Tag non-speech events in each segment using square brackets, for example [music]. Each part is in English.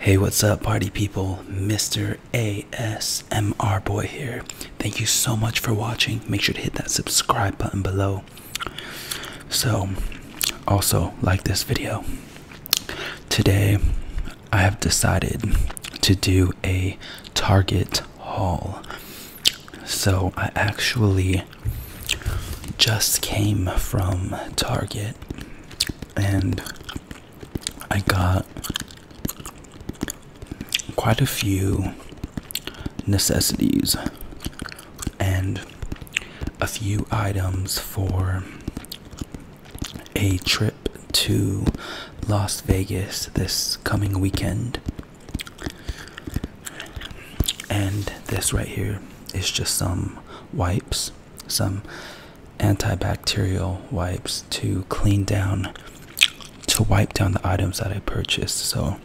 Hey, what's up, party people? Mr. ASMR Boy here. Thank you so much for watching. Make sure to hit that subscribe button below. So, also like this video. Today, I have decided to do a Target haul. So, I actually just came from Target and I got quite a few necessities and a few items for a trip to Las Vegas this coming weekend. And this right here is just some wipes some antibacterial wipes to clean down to wipe down the items that I purchased. So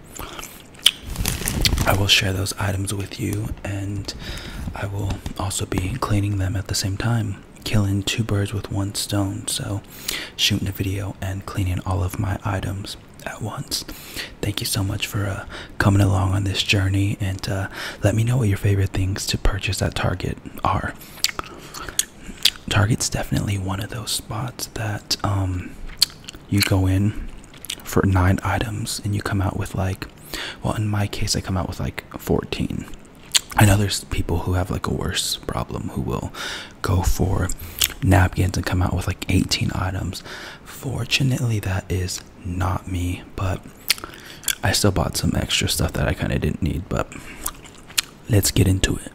I will share those items with you and I will also be cleaning them at the same time, killing two birds with one stone. So shooting a video and cleaning all of my items at once. Thank you so much for uh, coming along on this journey and uh, let me know what your favorite things to purchase at Target are. Target's definitely one of those spots that um, you go in for nine items and you come out with like, well, in my case, I come out with like 14. I know there's people who have like a worse problem who will go for napkins and come out with like 18 items. Fortunately, that is not me, but I still bought some extra stuff that I kind of didn't need, but let's get into it.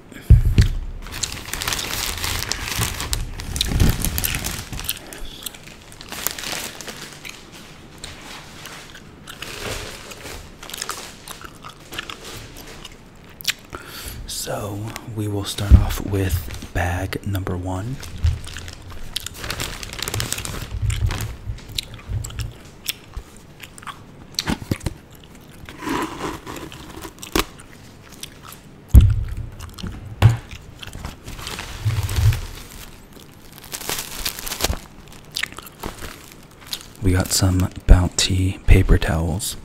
So we will start off with bag number one. We got some bounty paper towels.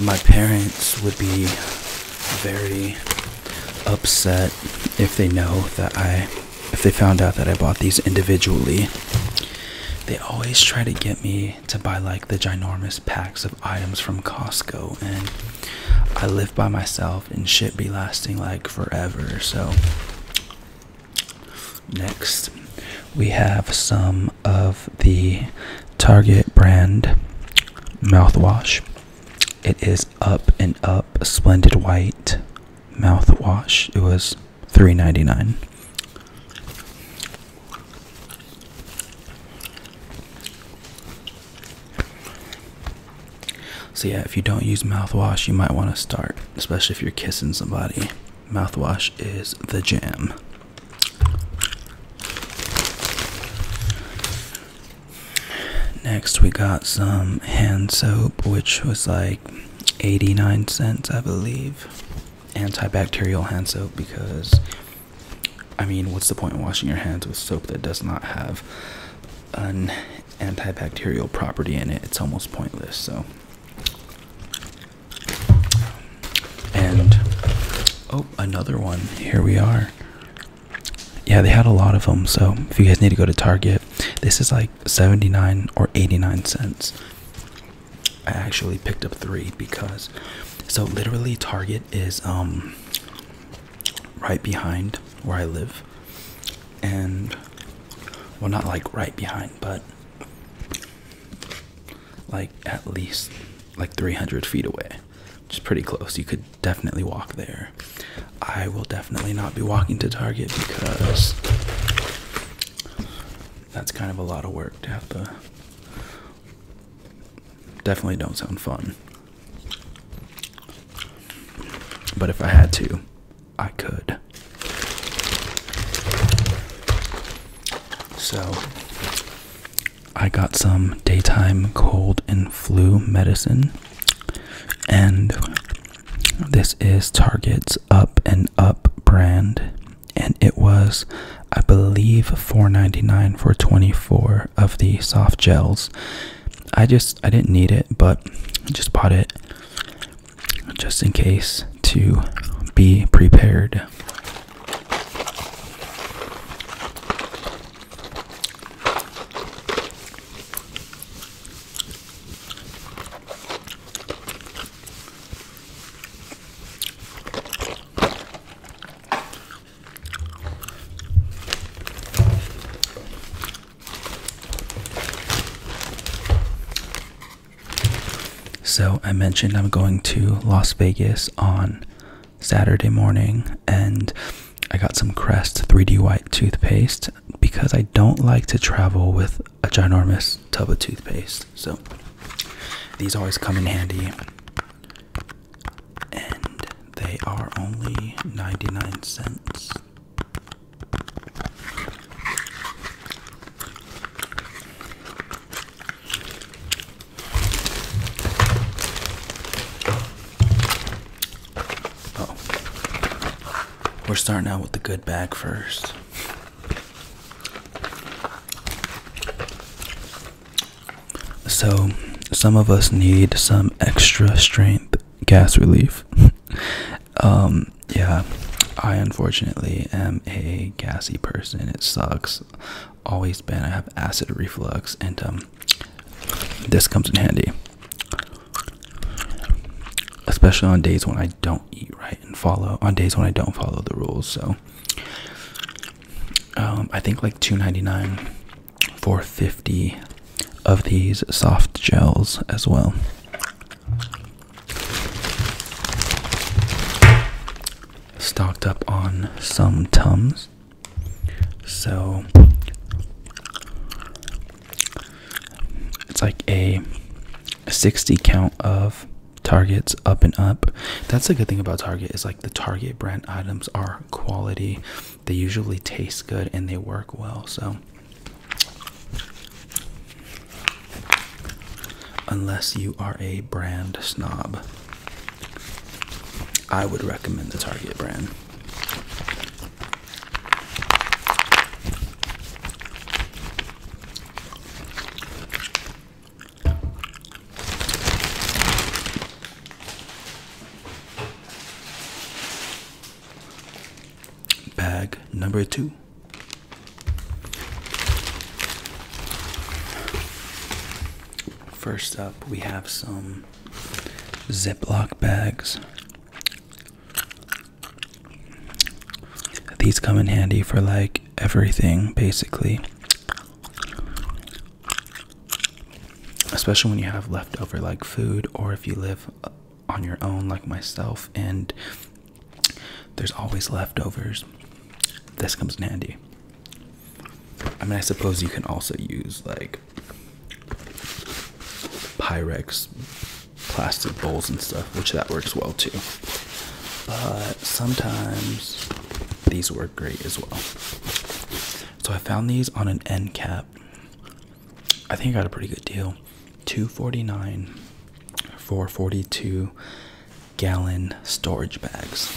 My parents would be very upset if they know that I if they found out that I bought these individually, they always try to get me to buy like the ginormous packs of items from Costco, and I live by myself and shit be lasting like forever. So, next we have some of the Target brand mouthwash. It is Up and Up Splendid White mouthwash. It was $3.99. So yeah, if you don't use mouthwash, you might want to start, especially if you're kissing somebody. Mouthwash is the jam. Next, we got some hand soap, which was like 89 cents, I believe. Antibacterial hand soap because, I mean, what's the point in washing your hands with soap that does not have an antibacterial property in it? It's almost pointless, so. And, oh, another one. Here we are. Yeah, they had a lot of them, so if you guys need to go to Target, this is like 79 or 89 cents. I actually picked up three because so literally Target is um right behind where I live and well not like right behind but like at least like 300 feet away which is pretty close you could definitely walk there I will definitely not be walking to Target because that's kind of a lot of work to have to. Definitely don't sound fun. But if I had to, I could. So, I got some daytime cold and flu medicine, and this is Target's Up and Up brand, and it was, I believe, $4.99 for 24 of the soft gels. I just I didn't need it, but just bought it just in case to be prepared. So, I mentioned I'm going to Las Vegas on Saturday morning, and I got some Crest 3D White toothpaste because I don't like to travel with a ginormous tub of toothpaste. So these always come in handy. And they are only 99 cents. Oh. We're starting out with the good bag first. So, some of us need some extra strength gas relief. [laughs] um, yeah, I unfortunately am a gassy person. It sucks. Always been. I have acid reflux, and um, this comes in handy especially on days when I don't eat right and follow on days when I don't follow the rules. So um, I think like two ninety nine nine, four fifty, of these soft gels as well. Stocked up on some Tums. So it's like a 60 count of targets up and up. That's the good thing about Target is like the Target brand items are quality. They usually taste good and they work well. So unless you are a brand snob, I would recommend the Target brand. Bag number two. First up, we have some Ziploc bags. These come in handy for like everything basically. Especially when you have leftover like food or if you live uh, on your own like myself and there's always leftovers. This comes in handy. I mean, I suppose you can also use like Pyrex plastic bowls and stuff, which that works well too. But sometimes these work great as well. So I found these on an end cap. I think I got a pretty good deal. 249 for 42 gallon storage bags.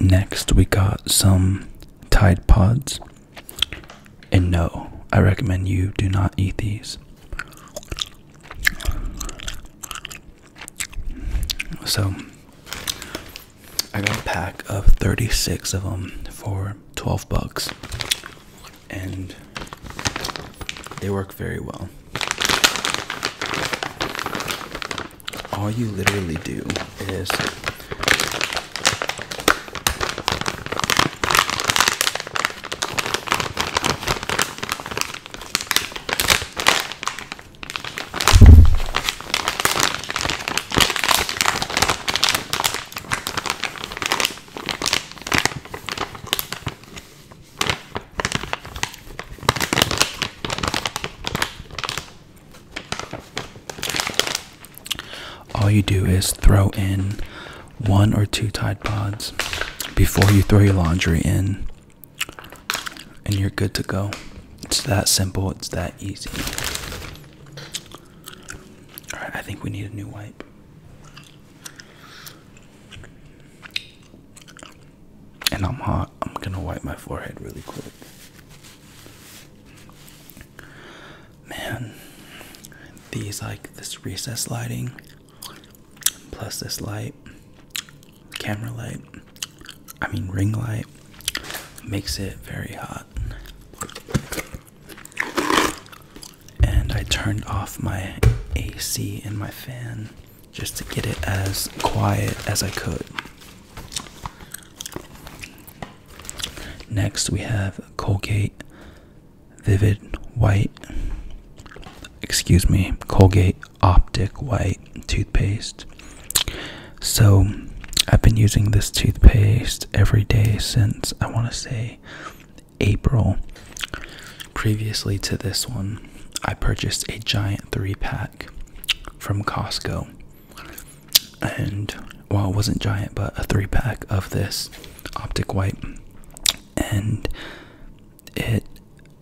Next, we got some Tide Pods. And no, I recommend you do not eat these. So, I got a pack of 36 of them for 12 bucks. And they work very well all you literally do is all you do is throw in one or two Tide Pods before you throw your laundry in, and you're good to go. It's that simple, it's that easy. Alright, I think we need a new wipe and I'm hot. I'm gonna wipe my forehead really quick. Man, these like this recess lighting plus this light, camera light, I mean, ring light makes it very hot. And I turned off my AC and my fan just to get it as quiet as I could. Next, we have Colgate Vivid White. Excuse me, Colgate Optic White toothpaste. So, I've been using this toothpaste every day since I want to say April. Previously to this one, I purchased a giant three pack from Costco. And well, it wasn't giant, but a three pack of this optic white. And it,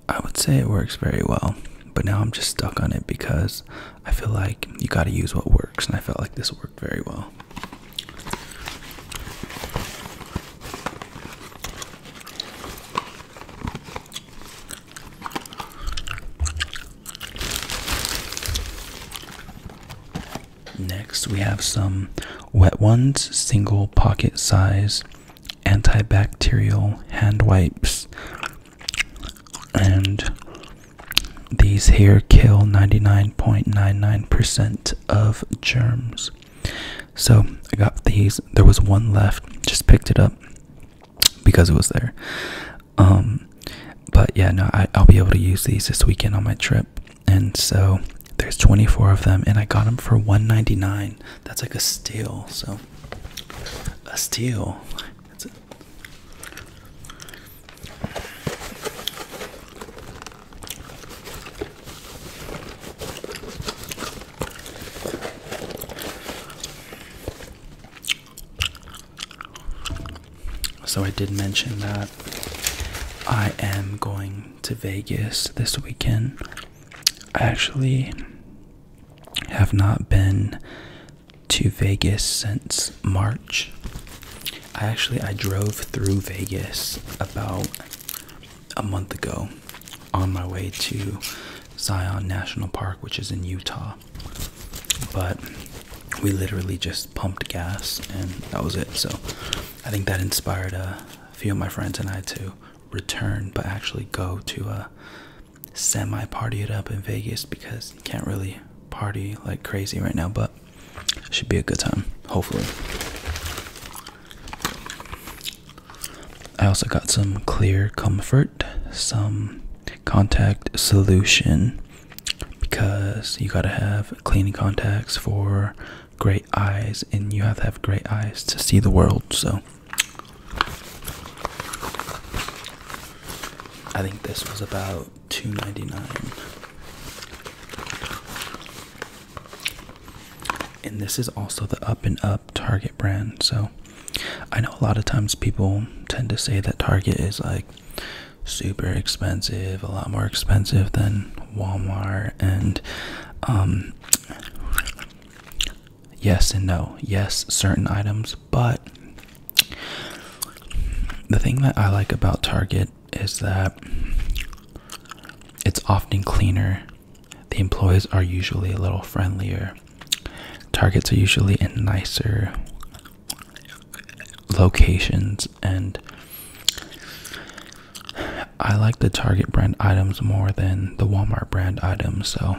I would say it works very well. But now I'm just stuck on it because I feel like you gotta use what works. And I felt like this worked very well. Next, we have some Wet Ones single pocket size antibacterial hand wipes. And these here kill 99.99% of germs. So I got these. There was one left, just picked it up because it was there. Um, but yeah, no, I, I'll be able to use these this weekend on my trip, and so there's 24 of them, and I got them for 1.99. That's like a steal. So a steal. So I did mention that I am going to Vegas this weekend. I actually have not been to Vegas since March. I actually I drove through Vegas about a month ago on my way to Zion National Park, which is in Utah. But we literally just pumped gas and that was it. So I think that inspired a few of my friends and I to return, but actually go to a semi party it up in Vegas because you can't really party like crazy right now, but should be a good time, hopefully. I also got some clear comfort, some contact solution because you got to have cleaning contacts for great eyes and you have to have great eyes to see the world. So I think this was about 2.99. And this is also the Up and Up Target brand, so I know a lot of times people tend to say that Target is like super expensive, a lot more expensive than Walmart, and um, yes and no, yes, certain items, but the thing that I like about Target is that it's often cleaner. The employees are usually a little friendlier. Targets are usually in nicer locations, and I like the Target brand items more than the Walmart brand items. So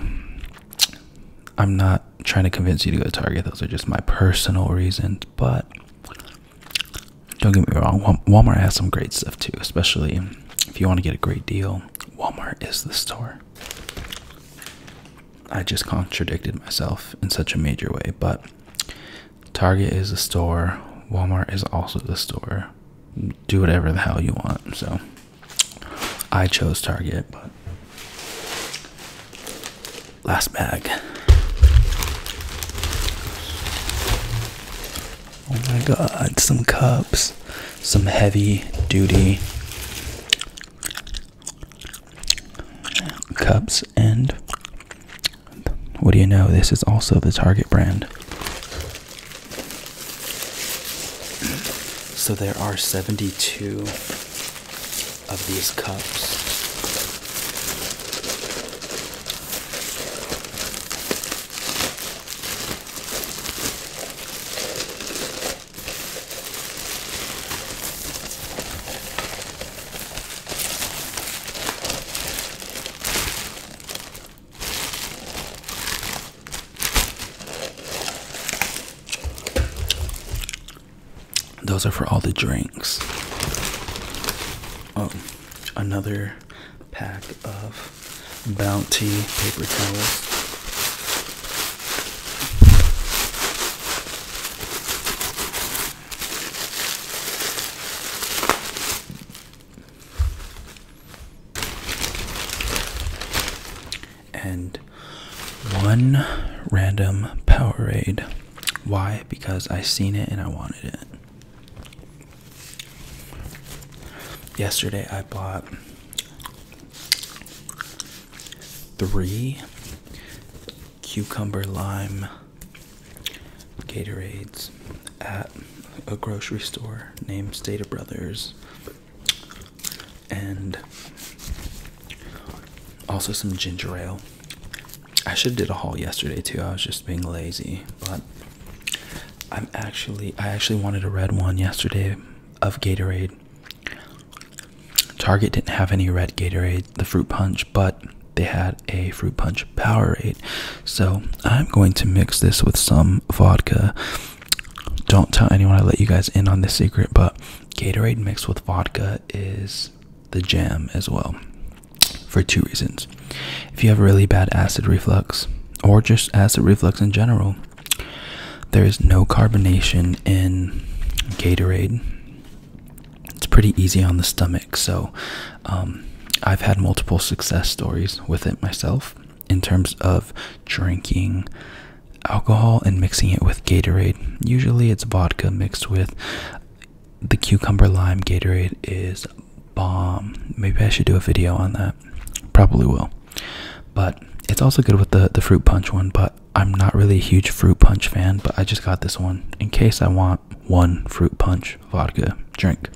I'm not trying to convince you to go to Target, those are just my personal reasons. But don't get me wrong, Walmart has some great stuff too, especially if you want to get a great deal. Walmart is the store. I just contradicted myself in such a major way, but Target is a store, Walmart is also the store. Do whatever the hell you want. So I chose Target, but last bag. Oh my god, some cups, some heavy duty cups and what do you know? This is also the Target brand. So there are 72 of these cups. Those are for all the drinks. Oh, another pack of Bounty paper towels. And one random Powerade. Why? Because I seen it and I wanted it. Yesterday I bought Three cucumber lime Gatorades at a grocery store named Stata Brothers, and also some ginger ale. I should have did a haul yesterday too. I was just being lazy, but I'm actually I actually wanted a red one yesterday of Gatorade, Target didn't have any red Gatorade, the fruit punch, but they had a fruit punch Powerade. So I'm going to mix this with some vodka. Don't tell anyone I let you guys in on this secret, but Gatorade mixed with vodka is the jam as well for two reasons. If you have really bad acid reflux, or just acid reflux in general, there is no carbonation in Gatorade. It's pretty easy on the stomach, so um, I've had multiple success stories with it myself in terms of drinking alcohol and mixing it with Gatorade. Usually it's vodka mixed with uh, the cucumber lime Gatorade is bomb. Maybe I should do a video on that. Probably will. But it's also good with the the fruit punch one, but I'm not really a huge fruit punch fan, but I just got this one in case I want one fruit punch vodka drink.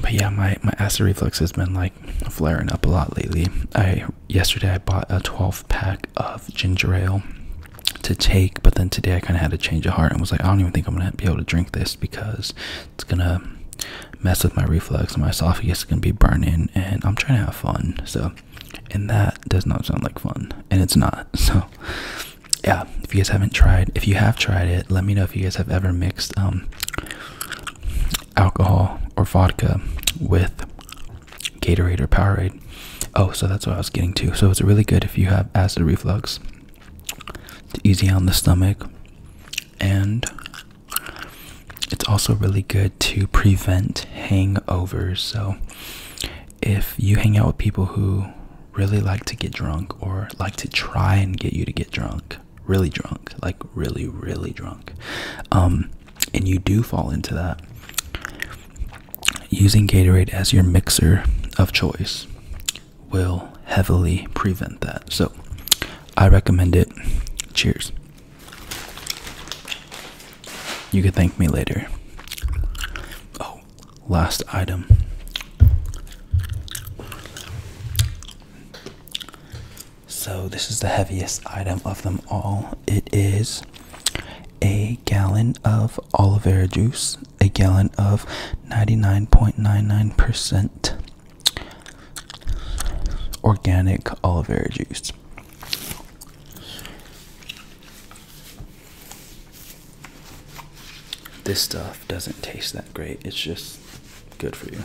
But yeah, my my acid reflux has been like flaring up a lot lately. I yesterday I bought a 12 pack of ginger ale to take, but then today I kind of had a change of heart and was like, I don't even think I'm gonna be able to drink this because it's gonna mess with my reflex my esophagus is going to be burning and i'm trying to have fun so and that does not sound like fun and it's not [laughs] so yeah if you guys haven't tried if you have tried it let me know if you guys have ever mixed um alcohol or vodka with gatorade or powerade oh so that's what i was getting to so it's really good if you have acid reflux it's easy on the stomach and it's also really good to prevent hangovers. So, if you hang out with people who really like to get drunk or like to try and get you to get drunk, really drunk, like really, really drunk, um, and you do fall into that, using Gatorade as your mixer of choice will heavily prevent that. So, I recommend it. Cheers. You can thank me later. Oh, last item. So, this is the heaviest item of them all. It is a gallon of olive vera juice, a gallon of 99.99% organic olive oil juice. This stuff doesn't taste that great, it's just good for you.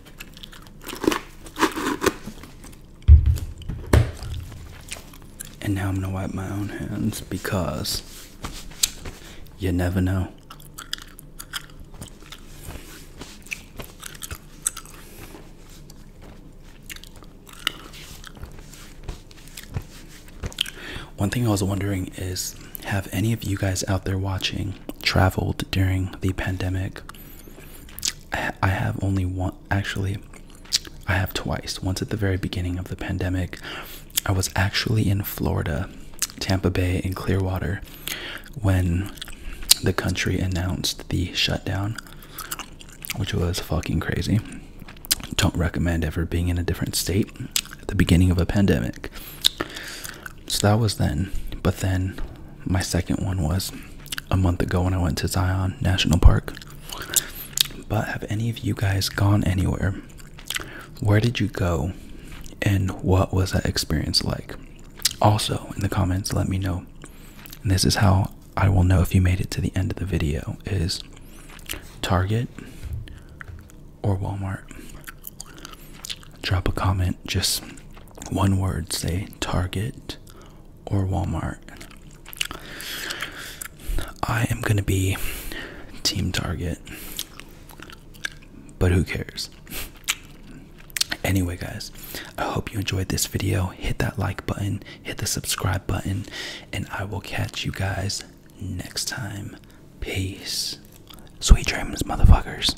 And now I'm gonna wipe my own hands because you never know. One thing I was wondering is have any of you guys out there watching traveled during the pandemic? I have only one, actually, I have twice. Once at the very beginning of the pandemic, I was actually in Florida, Tampa Bay, in Clearwater when the country announced the shutdown, which was fucking crazy. Don't recommend ever being in a different state at the beginning of a pandemic. So that was then. But then my second one was a month ago when I went to Zion National Park. But have any of you guys gone anywhere? Where did you go? And what was that experience like? Also, in the comments, let me know. this is how I will know if you made it to the end of the video is Target or Walmart Drop a comment, just one word, say Target or Walmart. I am going to be Team Target, but who cares? Anyway, guys, I hope you enjoyed this video. Hit that like button, hit the subscribe button, and I will catch you guys next time. Peace. Sweet dreams, motherfuckers.